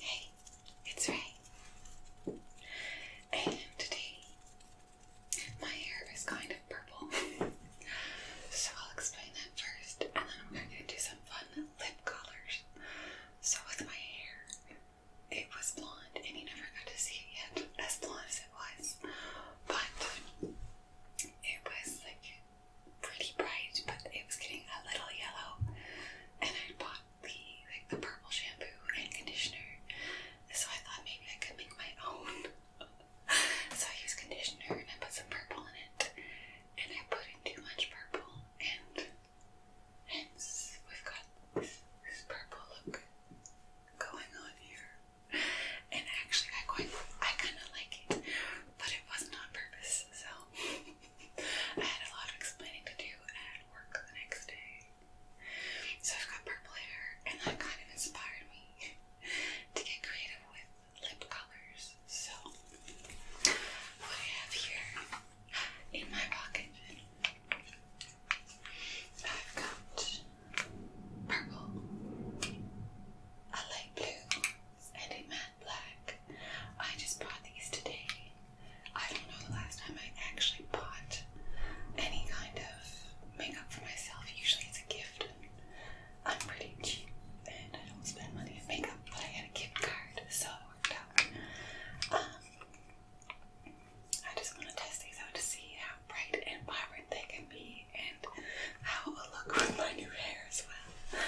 Hey, it's Ray. And today my hair is kind of purple. so I'll explain that first and then I'm going to do some fun lip colors. So with my hair it was blonde and he never got to see it yet, as blonde as it was. But it was like pretty bright, but it was getting a little yellow. And I bought the like the purple shampoo and conditioner. So I thought maybe I could make my own. so I used conditioner and I put some purple in it. And I put in too much purple and hence we've got this purple look going on here. And actually, I quite, I kind of like it, but it wasn't on purpose. So I had a lot of explaining to do at work the next day. So I've got purple hair, and that kind of inspired me to get creative with lip colors. So what I have here in my pocket I've got purple, a light blue, and a matte black. I just bought these today. I don't know the last time I actually bought any kind of makeup for myself. Usually it's a gift. And I'm pretty cheap and I don't spend money on makeup, but I had a gift card, so it worked out. I just want to test these out to see how bright and vibrant they can be and how it will look with my new hair as well.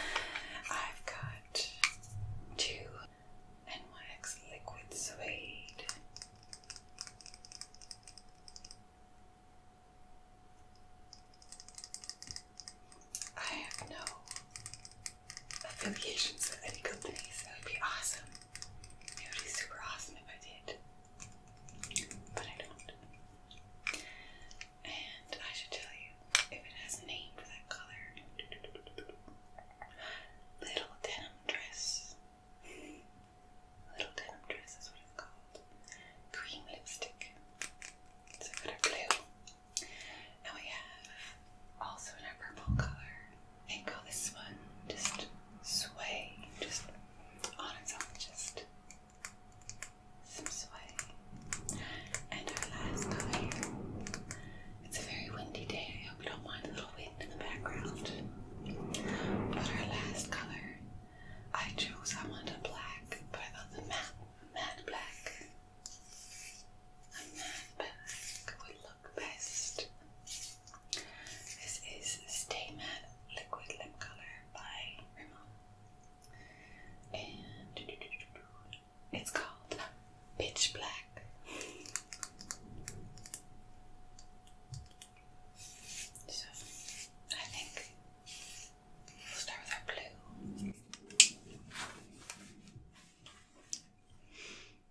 I've got two NYX Liquid Suede. I have no affiliations with any company, so would be awesome it would be super awesome if I did. But I don't. And I should tell you, if it has a name for that color, little denim dress. Little denim dress is what it's called. Cream lipstick. It's a color blue. And we have also in our purple color think this one just sway, just on its own, just some sway. And our last color. It's a very windy day. I hope you don't mind a little wind in the background. But our last color, I chose I want a black, but I thought the matte, matte black, a matte black best. This is Stay Liquid Lip Color by Rimmel. And it's called Pitch Black. So I think we'll start with our blue.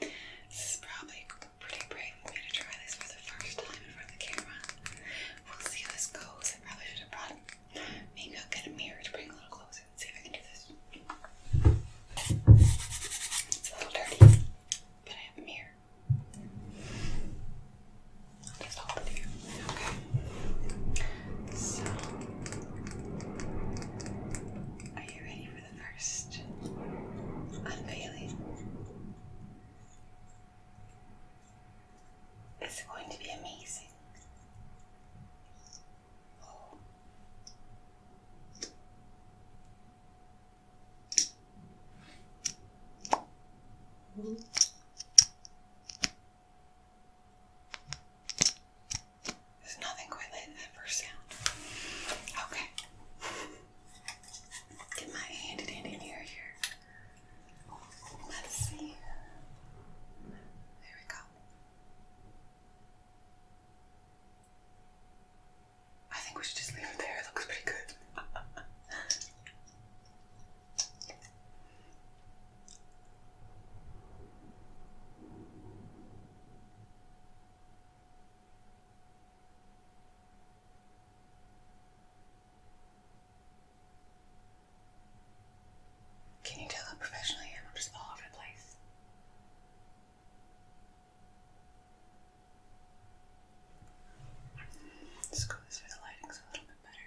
This is probably pretty brave of me to try this for the first time in front of the camera. We'll see how this goes. I probably should have brought maybe i a mirror to bring a little closer and see if I can do this. It's a little dirty, but I have a mirror. just hold it here. Okay. So are you ready the first unveiling. It's going to be amazing. There's nothing quite like that first sound. Okay. Get my handy dandy mirror here. Let's see. There we go. I think we should just leave it there. It looks pretty good. Can you tell that professionally I'm just all over the place? Let's go this way, the lighting's a little bit better.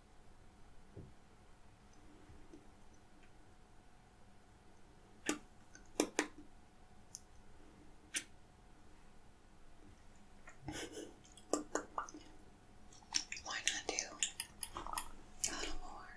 Why not do a little more?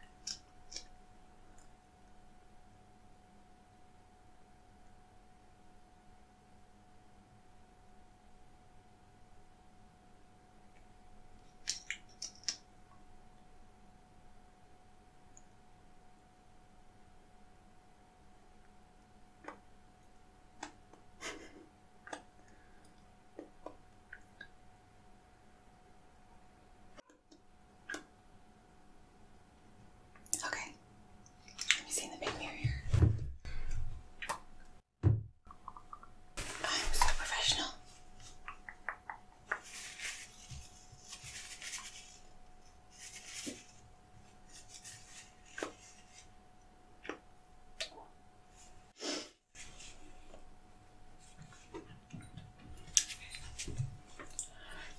Okay. Let me see in the big mirror I'm so professional.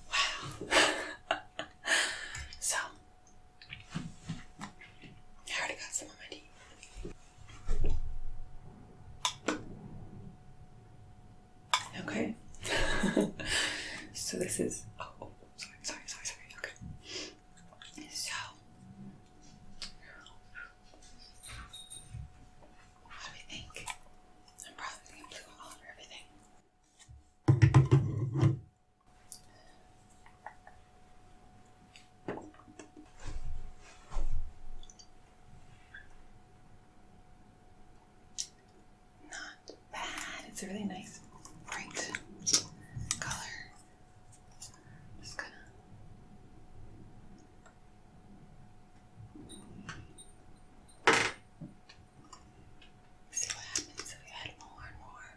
Wow. so, I already got some on my teeth. Okay. so this is. Oh, oh, sorry, sorry, sorry, sorry. Okay. So. What I'm probably going to blue all over everything. Not bad. It's a really nice bright color. just gonna see what happens if we add more and more.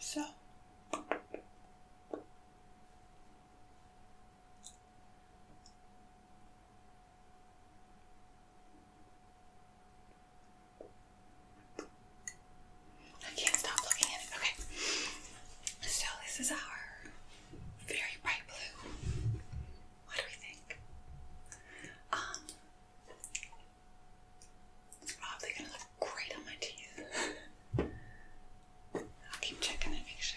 So I can't stop looking at it. Okay. So this is our very bright blue. What do we think? Um it's oh, probably gonna look great on my teeth. I'll keep checking and make sure.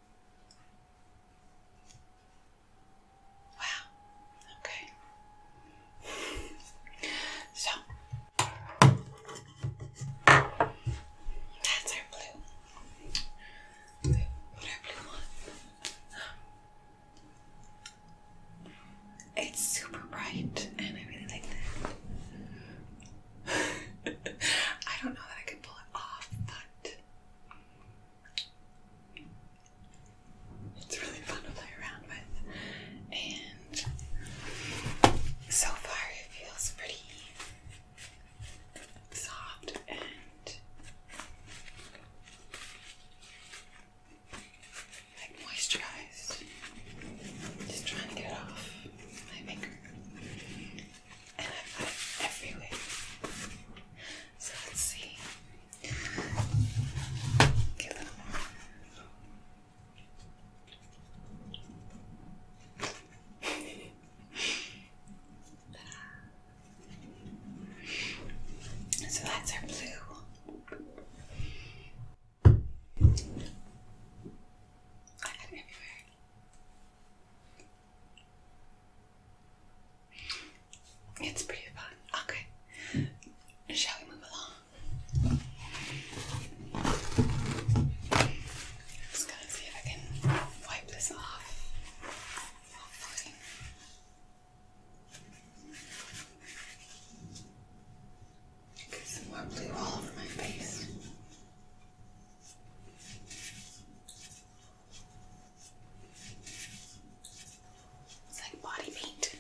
Wow. Okay. so that's our blue. Blue, our blue one. It's super bright, and I really like that. I don't know that I could pull it off, but it's really fun to play around with, and so far it feels pretty soft and like moisturized. Just trying to get off my finger and I put everywhere. So let's see. So that's our blue. I got it everywhere. It's pretty fun. Okay. Shall we move along? just gonna see if I can wipe this off. Hopefully. Get some more blue all over my face. It's like body paint.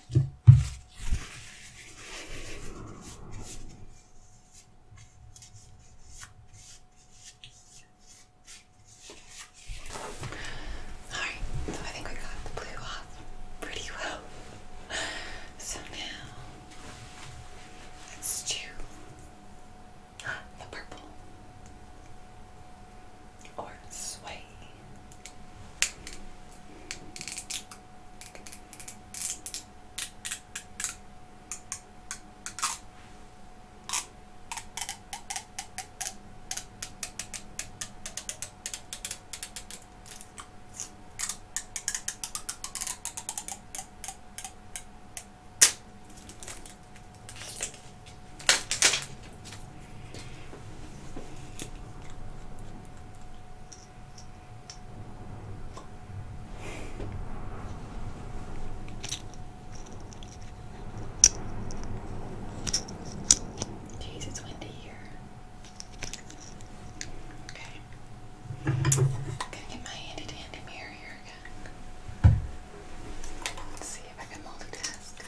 Alright, so I think we got the blue off pretty well. So now, let's chew the purple or sway. Jeez, it's windy here. Okay. I'm gonna get my handy dandy mirror here. Let's see if I can multitask.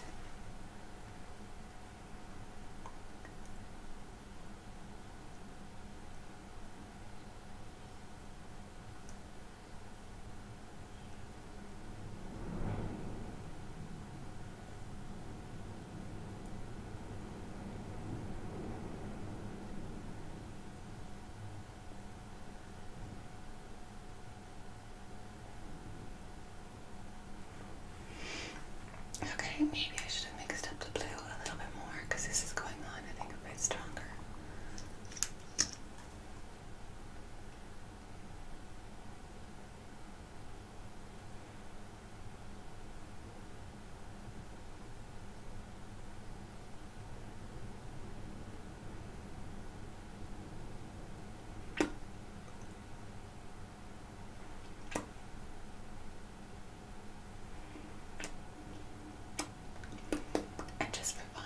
Okay, maybe I should have mixed up the blue a little bit more because this is going on, I think, a bit stronger. And just for fun,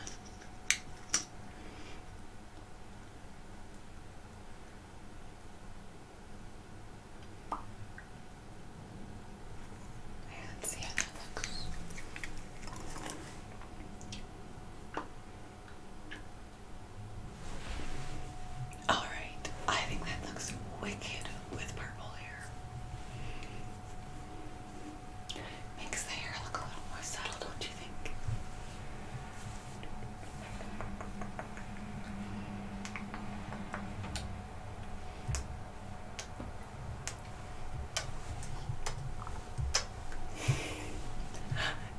and see how that looks. All right, I think that looks wicked with purple hair. Makes the hair look a little more subtle, don't you think?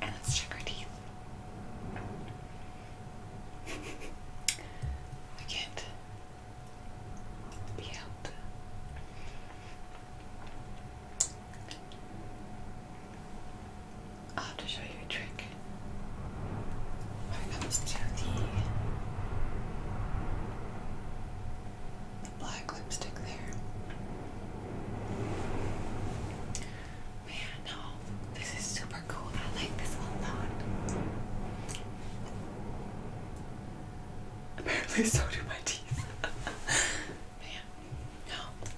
and let's check our teeth. I can't be out. i have to show you a trick when it comes to the the black lipstick there. Man, no, this is super cool. I like this a lot. Apparently, so do my teeth. Man, no.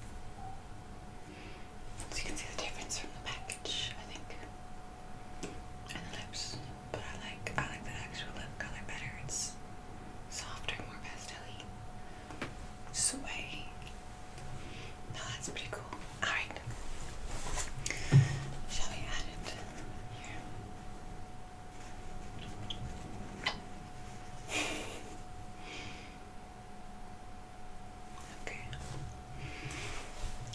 So you can see the difference from the package, I think. And the lips but I like I like the actual lip color better. It's softer, more pastelly. Sway. No, that's pretty cool. All right, shall we add it here? Okay,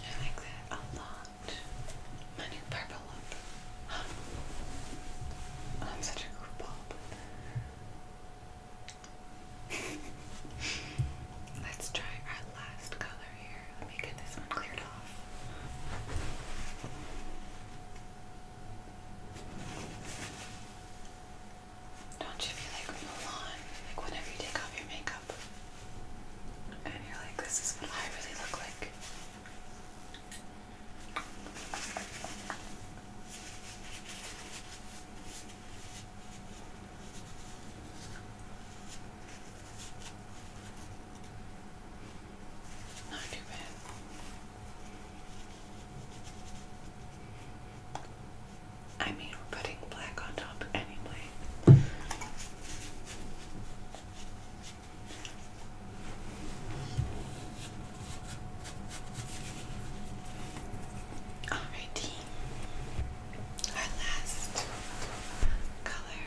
I like that a lot. My new purple I'm such a goofball. Let's try our last color here. Let me get this one cleared off. Don't you feel like Milan? Like whenever you take off your makeup and you're like, this is what I really look like. Not too bad. I mean, putting black on top anyway. Alrighty, our last color.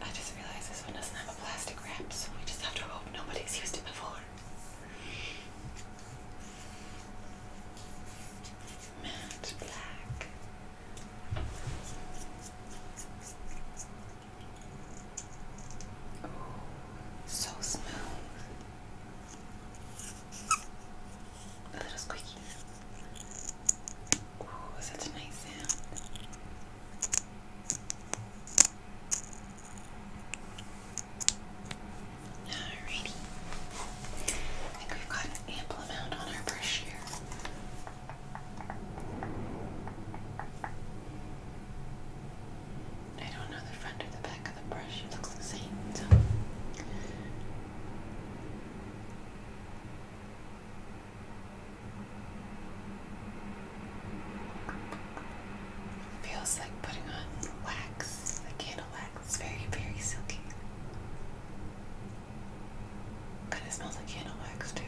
I just realized this one doesn't have a plastic wrap, so we just have to hope nobody's used it before. Matte black. Oh, so smooth. A little squeaky. Ooh, such a nice sound. Alrighty. I think we've got ample amount on our brush here. I don't know the front or the back of the brush. It looks the same, Feels like putting on wax, candle wax. It's very, very silky. Kinda smells like candle wax too.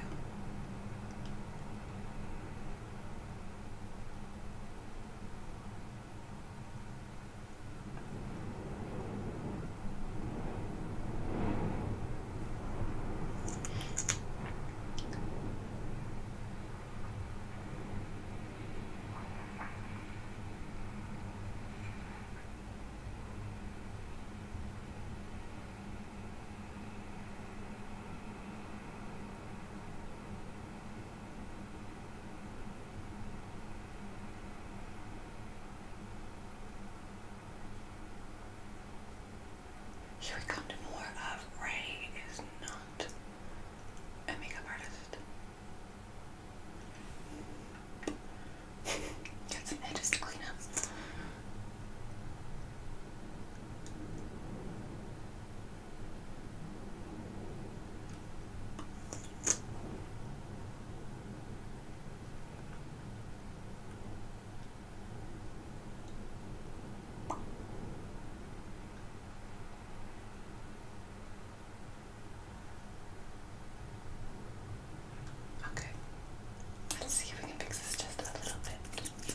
Should we come to more of Ray is not a makeup artist? Got some edges to clean up. Okay. Let's see if we can fix this just a little bit. Okay.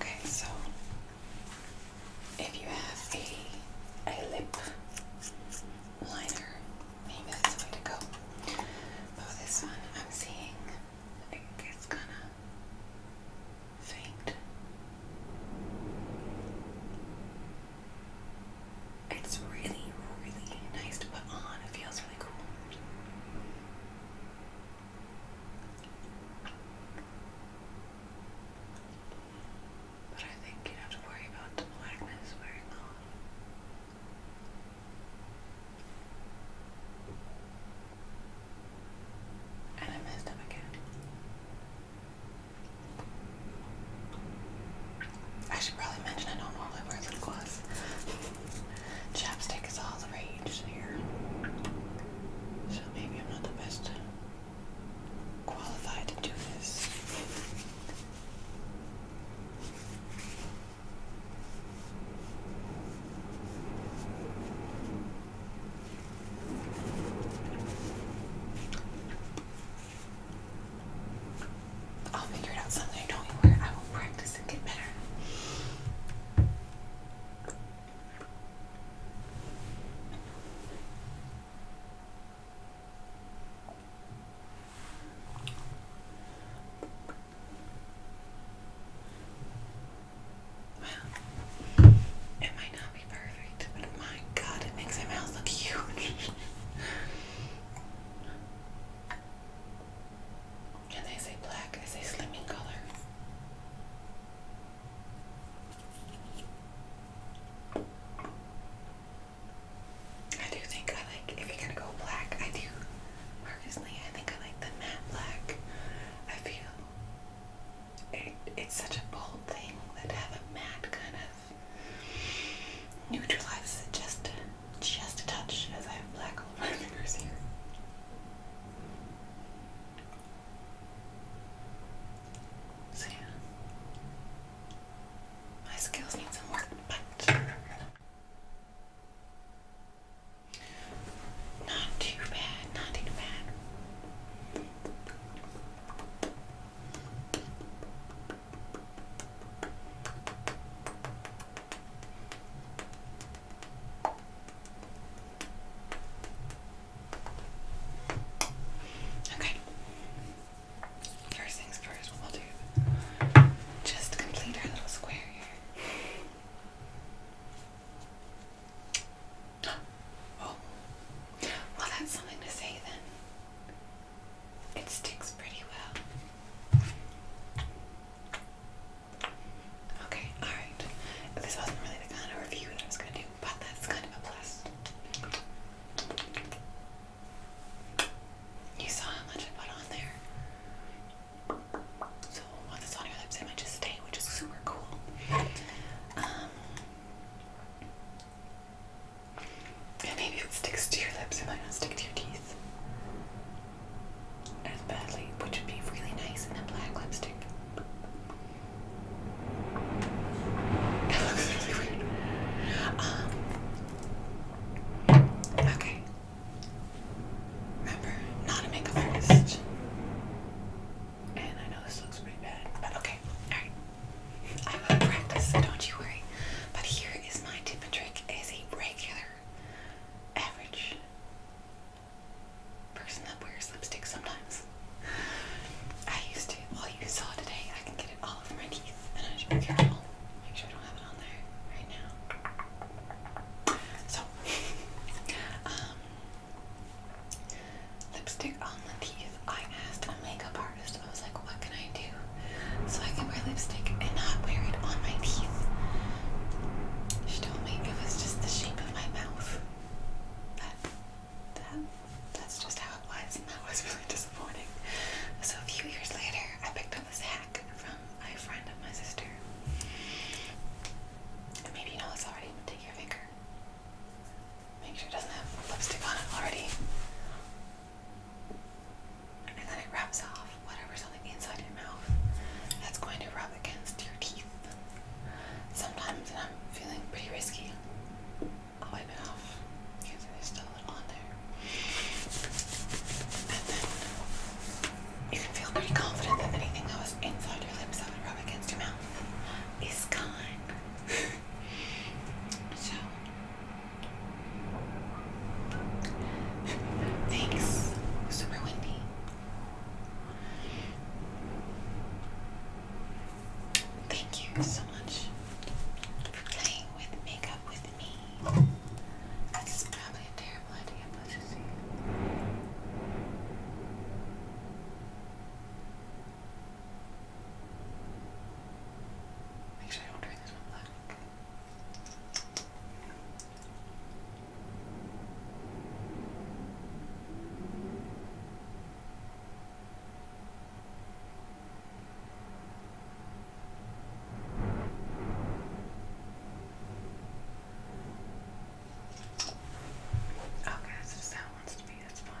Okay, so if you have a, a lip liner, maybe that's the way to go. But this one, I'm seeing like it's kind of faint. It's really, really nice to put on. It feels really cool. But I think you do have to worry about the blackness wearing on. And I messed up again. I should probably mention I don't normally wear lip gloss. Chapstick is all the rage here. So maybe I'm not the best qualified to do this. I'll figure it out someday. Don't you worry. I will practice and get better. Well, it might not be perfect, but my god, it makes my mouth look huge. Can they say black is a slimming color. I do think I like, if you're gonna go black, I do. Personally, I think I like the matte black. I feel it, it's such a bold thing that have a matte kind of Neutralize it just, just a touch as I have black on my fingers here. So yeah, my skills need some work, but not too bad, not too bad. Okay. First things first, we'll do just complete our little square here. Oh. Well, that's something to say then. It sticks pretty well. Okay, alright. This wasn't really the kind of review that I was going to do, but that's kind of a plus. You saw how much I put on there. So once it's on your lips, it just stay, which is super cool. Um, and maybe if it sticks to your lips, it might not stick to your teeth as badly, which would be really nice in a black lipstick. That looks really weird. Um, okay. Remember, not a makeup artist. And I know this looks pretty bad, but okay. Alright. I will practice, so don't you worry. But here is my tip and trick as a regular, average person that wears lipstick sometimes. I used to, All you saw today, I can get it all over my teeth and I should be careful. Make sure I don't have it on there right now. So, um, lipstick on the teeth. I asked a makeup artist. I was like, what can I do so I can wear lipstick and not wear it on my teeth? She told me it was just the shape of my mouth. That, that, that's just how it was, and that was really disappointing. So a few years later, I picked up this hack from a friend of my sister. Maybe you know this already, take your finger. Make sure it doesn't have lipstick on it already and then it wraps off whatever's on the inside of your mouth. That's going to rub against your teeth. Sometimes, and I'm feeling pretty risky, I'll wipe it off because there's still a little on there. And then you can feel pretty confident that anything that was inside your lips that would against your mouth is gone. so Thanks. Super windy. Thank you so much for playing with makeup with me. That's probably a terrible idea, but you see. Make sure you don't turn this one black. Okay, oh, that's just how it wants to be, that's fine.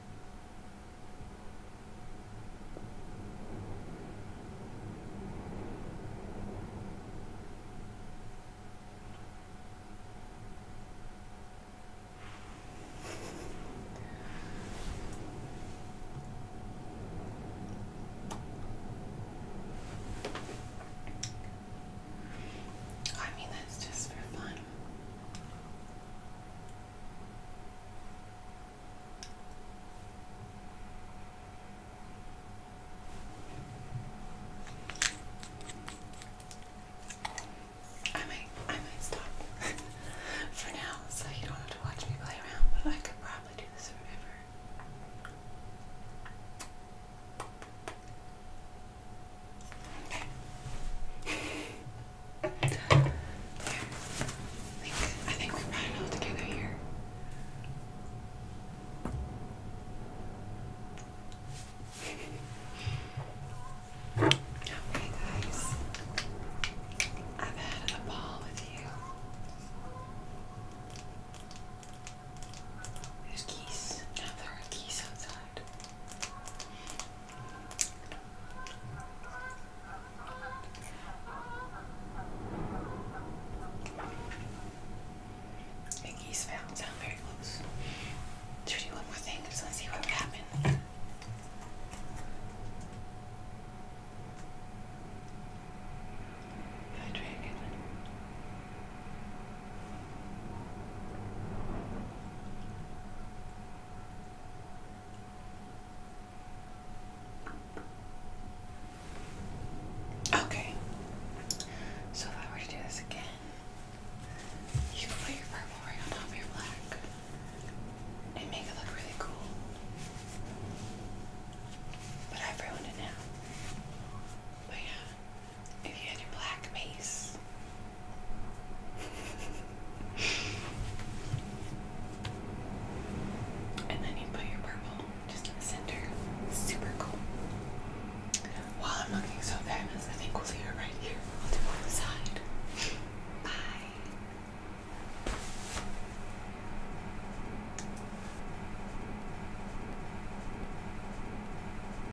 I mean, that's just for fun. I might, I might stop for now, so you don't have to watch me play around. But I could probably do this forever. I think, we brought all together here. Okay, guys. I've had a ball with you. There's geese. Now there are geese outside side. Mickey's found sound very close. do one more thing just to see what would happen. Hi, dragon. Okay. So if I were to do this again, you can put your purple right on top of your black and make it look really cool. But i ruined it now. But yeah. If you had your black mace. and then you put your purple just in the center. Super cool. While I'm looking so fabulous, I think we'll leave it right here. i one side. Bye.